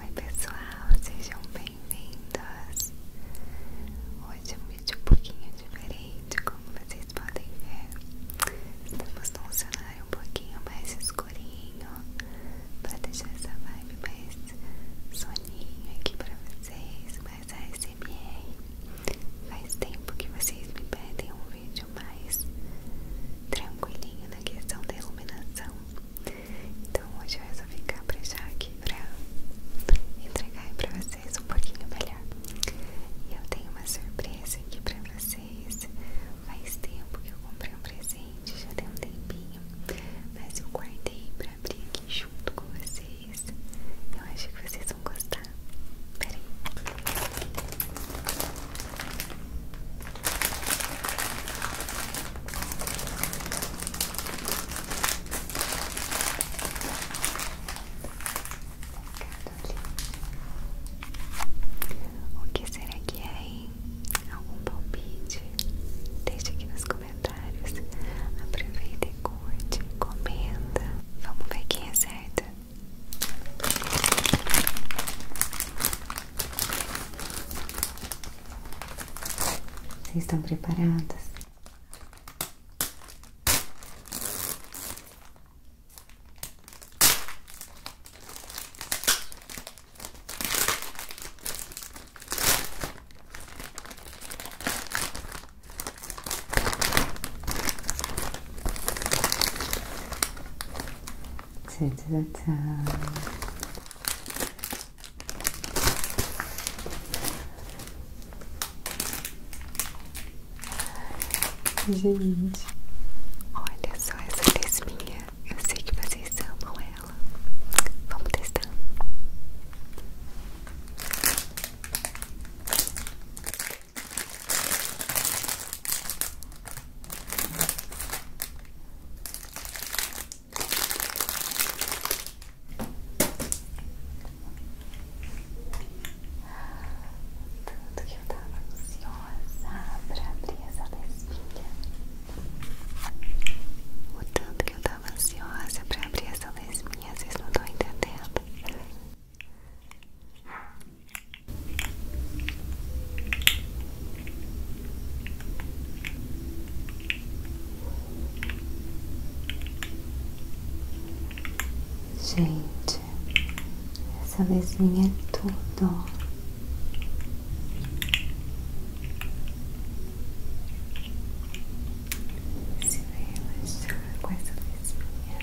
Oi pessoal, sejam bem-vindos! Hoje é um vídeo um pouquinho diferente, como vocês podem ver. Estamos num cenário um pouquinho mais escurinho, para deixar essa vibe mais soninho aqui para vocês, mais ASMR. Faz tempo que vocês me pedem um vídeo mais tranquilinho na questão da iluminação. Então hoje eu resolvi já aqui pra entregar pra vocês um pouquinho melhor. E eu tenho uma surpresa aqui pra vocês. Faz tempo que eu comprei um presente, já tem um tempinho, mas eu guardei pra abrir aqui junto com vocês. Eu acho que vocês vão gostar. Peraí. O que será que é, hein? Algum palpite? Deixe aqui nos comentários. Aproveita e curte, comenta. Vamos ver quem acerta. É vocês estão preparadas? Tchau, tchau, Gente, olha só essa lesminha. Eu sei que vocês amam ela. Vamos testar. Tanto que eu estava ansiosa para abrir essa lesinha, O tanto que eu estava ansiosa para abrir essa lesinha, vocês não estão entendendo. Gente, essa vez lesinha é tudo. Se relaxar com essa lesinha.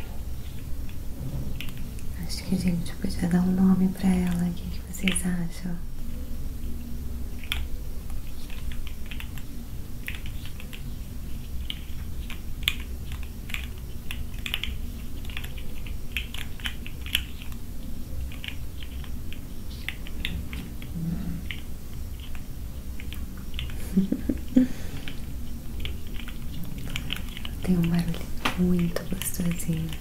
Acho que a gente podia dar um nome pra ela. O que, vocês acham? Tenho um barulho muito gostosinho.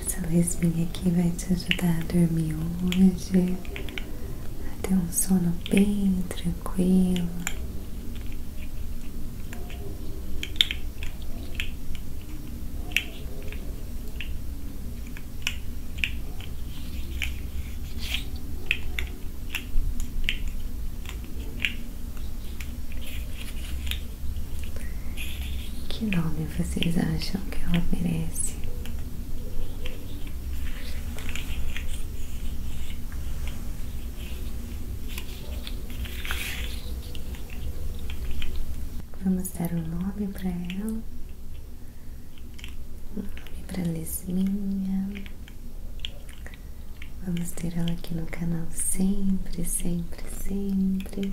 Essa luzinha aqui vai te ajudar a dormir hoje, a ter um sono bem tranquilo. Que nome trabalho vocês acham que ela merece? Vamos dar um nome para ela, um nome para Lisminha. Vamos ter ela aqui no canal sempre, sempre, sempre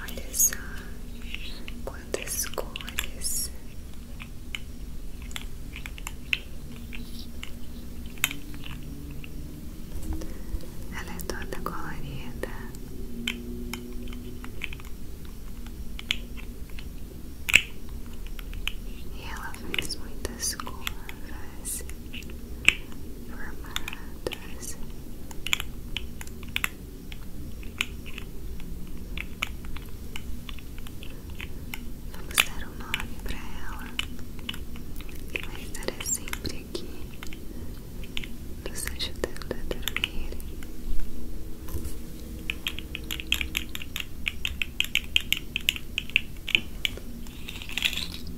Olha só quantas cores. Ela é toda colorida. E ela faz muitas curvas formadas. Vamos dar um nome para ela. E vai estar sempre aqui nos ajudando a dormir. Vamos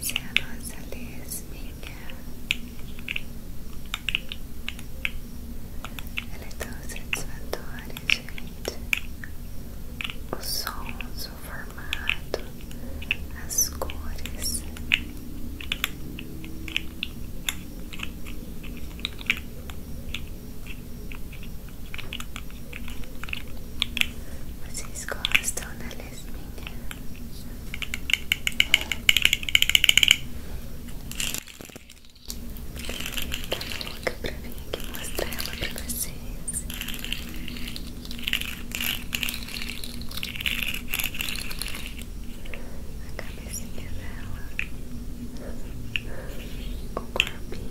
Essa é a nossa lesbinha. Ela é tão satisfatória, gente. Os sons, o formato, as cores. Vocês gostam da né, lesbinha? Tá louca pra vir aqui mostrar ela pra vocês? A cabecinha dela, o corpinho.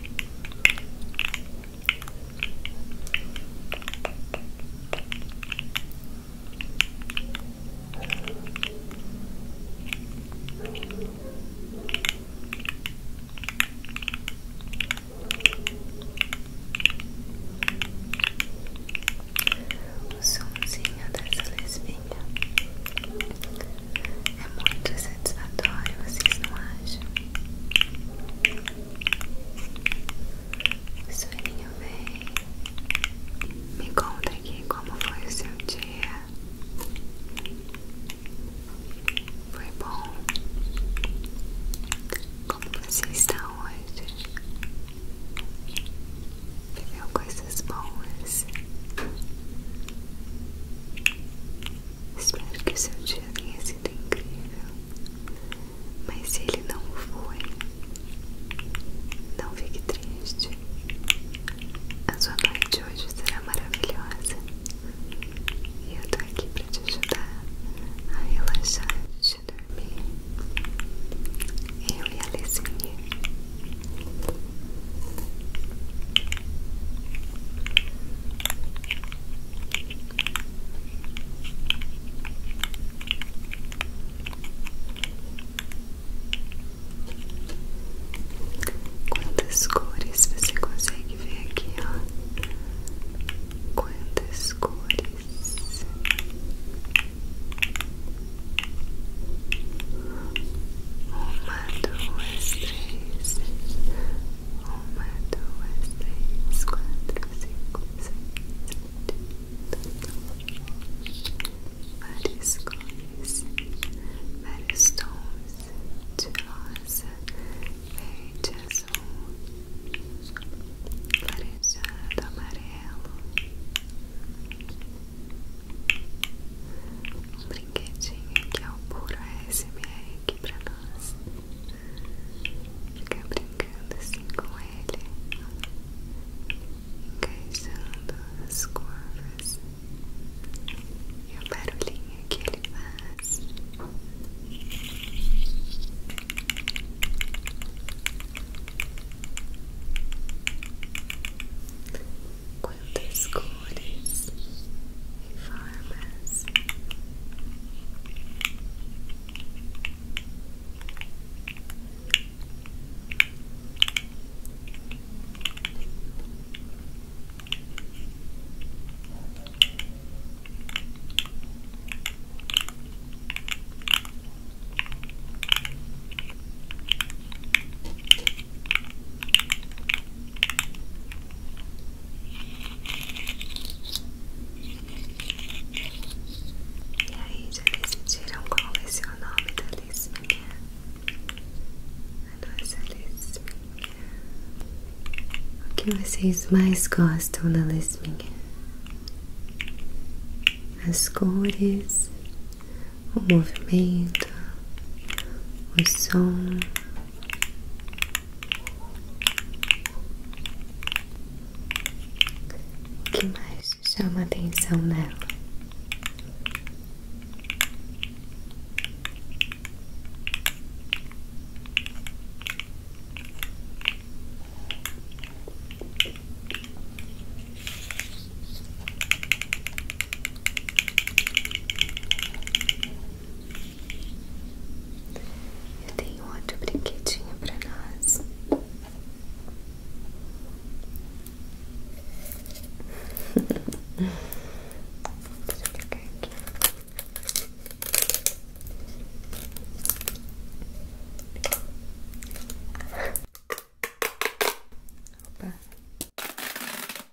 O somzinho dessa lesbinha é muito satisfatório, vocês não acham? Soninho vem. Me conta aqui como foi o seu dia. Foi bom? Como você está hoje? Viveu coisas boas? Espero que o seu dia tenha sido incrível. Mas se ele não foi, não fique triste. A sua noite de hoje será maravilhosa. E eu tô aqui pra te ajudar a relaxar antes de dormir. Eu e a Lezinha. Quantas cores você consegue ver aqui, ó? Quantas cores? Uma, uma, duas, três. Uma, duas, três, quatro, cinco, seis, sete, oito. Várias cores, vários tons de rosa, verde, azul, laranjado, amarelo um brinquedinho que é o puro ASMR aqui pra nós ficar brincando assim com ele encaixando as curvas e o barulhinho que ele faz the school is a farmhouse. E aí, já decidiram qual vai ser o nome da lisminha? A nossa lisminha. O que vocês mais gostam da lisminha? As cores o movimento, o som. O que mais chama atenção nela? Eu tenho outro brinquedinho para nós. Deixa eu pegar aqui. Opa.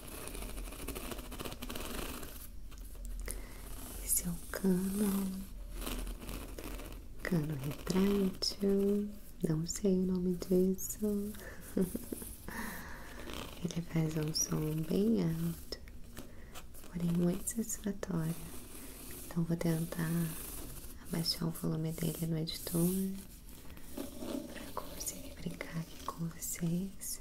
Esse é o cano, cano retrátil, não sei o nome disso. Ele faz um som bem alto, porém muito satisfatório. Então vou tentar abaixar o volume dele no editor para conseguir brincar aqui com vocês.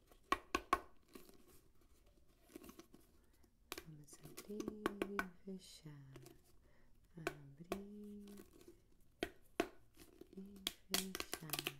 Vamos abrir e fechar, abrir e fechar.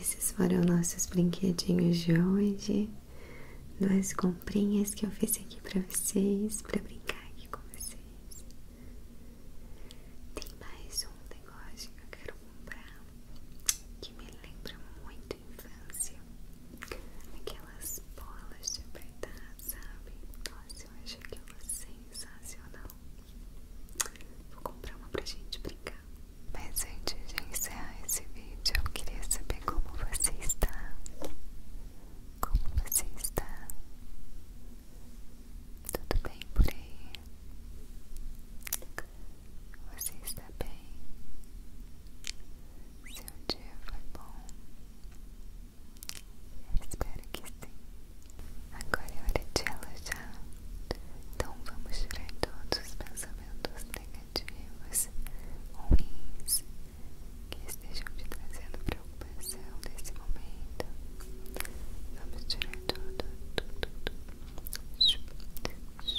Esses foram nossos brinquedinhos de hoje duas comprinhas que eu fiz aqui pra vocês, pra brincar aqui com vocês. Tem mais um negócio que eu quero comprar que me lembra muito infância. Aquelas bolas de apertar, sabe? Nossa, eu acho aquilo sensacional. Vou comprar uma pra gente brincar. Mas antes de encerrar esse vídeo, eu queria saber como você está. Como você está? Tudo bem por aí? Você está bem? Seu dia foi bom? espero que sim. Agora é hora de elogiar. Então vamos tirar todos os pensamentos negativos negativos ruins que estejam te trazendo preocupação nesse momento. Vamos tirar tudo, tudo, tudo. Pronto,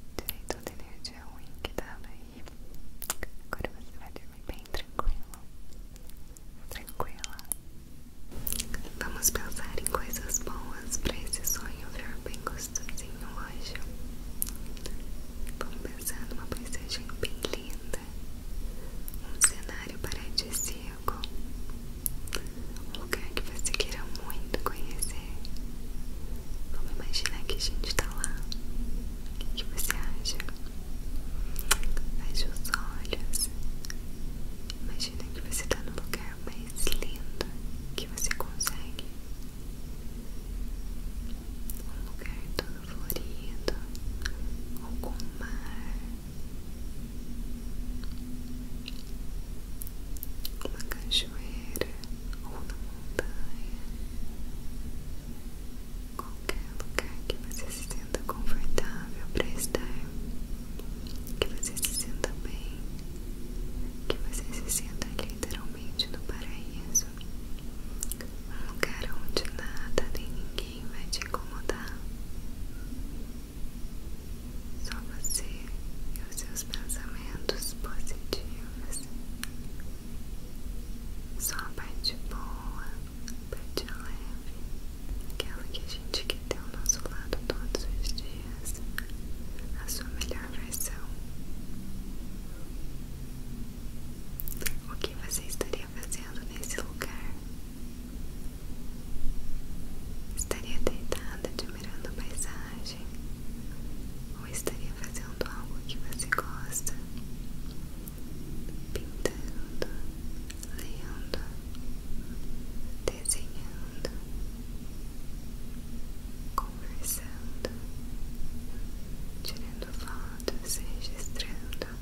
tirei toda a energia ruim que estava aí agora você vai dormir bem tranquilo, tranquila. Vamos pensar em coisas boas para esse sonho ficar bem gostosinho hoje. Vamos pensar numa paisagem bem linda, um cenário paradisíaco, um lugar que você queira muito conhecer. Vamos imaginar que a gente está lá. O que, você acha? Feche os olhos. Imagina que você está no lugar mais lindo que você consegue. Um lugar todo florido, ou com mar, uma cachoeira, ou na montanha, qualquer lugar que você se sinta confortável para estar, que você se sinta bem, que você se sinta literalmente no paraíso, um lugar onde nada nem ninguém vai te incomodar. Só você e os seus pensamentos positivos só a parte boa, a parte leve, aquela que a gente quer ter ao nosso lado todos os dias, a sua melhor versão. O que você estaria fazendo nesse lugar? Estaria deitada admirando a paisagem, ou estaria fazendo algo que você gosta? Pintando, lendo, desenhando, conversando, tirando fotos, registrando,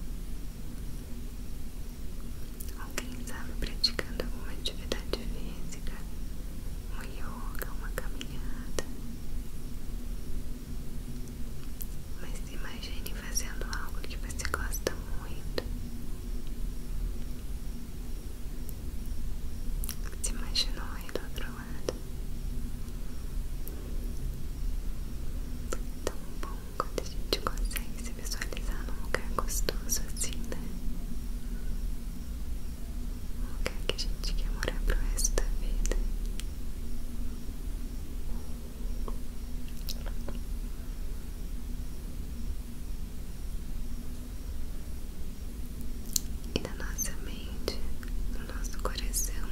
ou quem sabe praticando alguma atividade física um yoga, uma caminhada. Mas imagine fazendo algo que você gosta muito. Se imaginou aí do outro lado. Tão bom quando a gente consegue se visualizar num lugar gostoso assim, né? um lugar que a gente quer morar pro resto da vida. E na nossa mente, no nosso coração,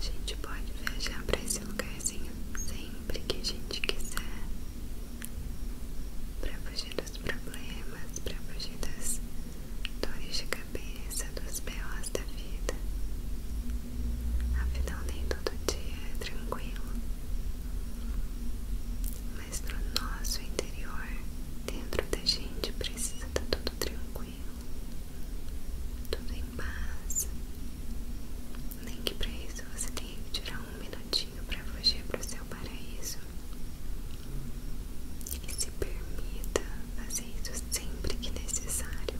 a gente pode viajar para esse lugarzinho sempre que a gente quiser, para fugir dos problemas, para fugir das dores de cabeça, dos B.O.s da vida. Afinal, é nem todo dia é tranquilo. Mas no nosso interior, dentro da gente, precisa estar tá tudo tranquilo, tudo em paz. Nem que para isso você tenha que tirar um minutinho para fugir para o seu paraíso. E se permita fazer isso sempre que necessário.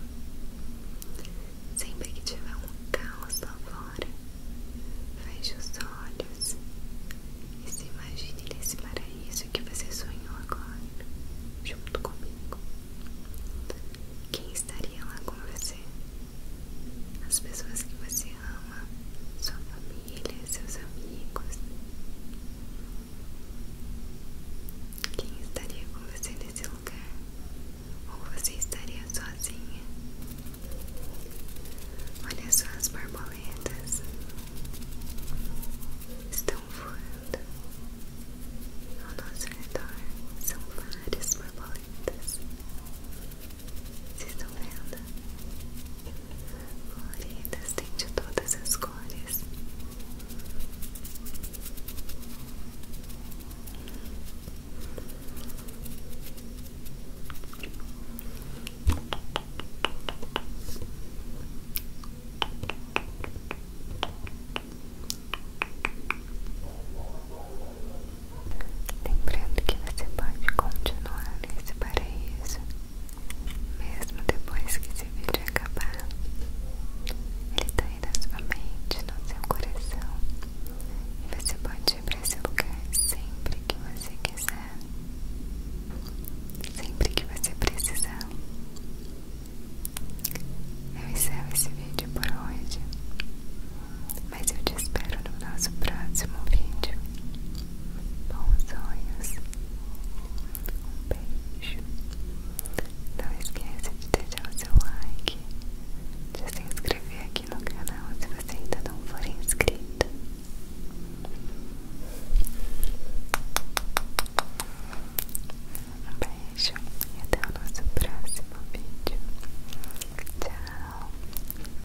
Sempre que tiver um caos lá volta feche os olhos e se imagine nesse paraíso que você sonhou agora, junto comigo. Quem estaria lá com você? As pessoas que você você ama, sua família, seus amigos. Quem estaria com você nesse lugar? Ou você estaria sozinha? Olha só as borboletas. Estão voando ao nosso redor. São várias borboletas. Vocês estão vendo? Coloridas, tem de todas as cores. Lembrando que você pode continuar nesse parênteses isso mesmo depois que esse vídeo acabar. Ele está aí na sua mente, no seu coração. E você pode ir para esse lugar sempre que você quiser, sempre que você precisar. Eu encerro esse vídeo por hoje, mas eu te espero no nosso próximo vídeo bons sonhos, um beijo. Não esqueça de deixar o seu like, de se inscrever aqui no canal se você ainda não for inscrito. Um beijo e até o nosso próximo vídeo. Tchau!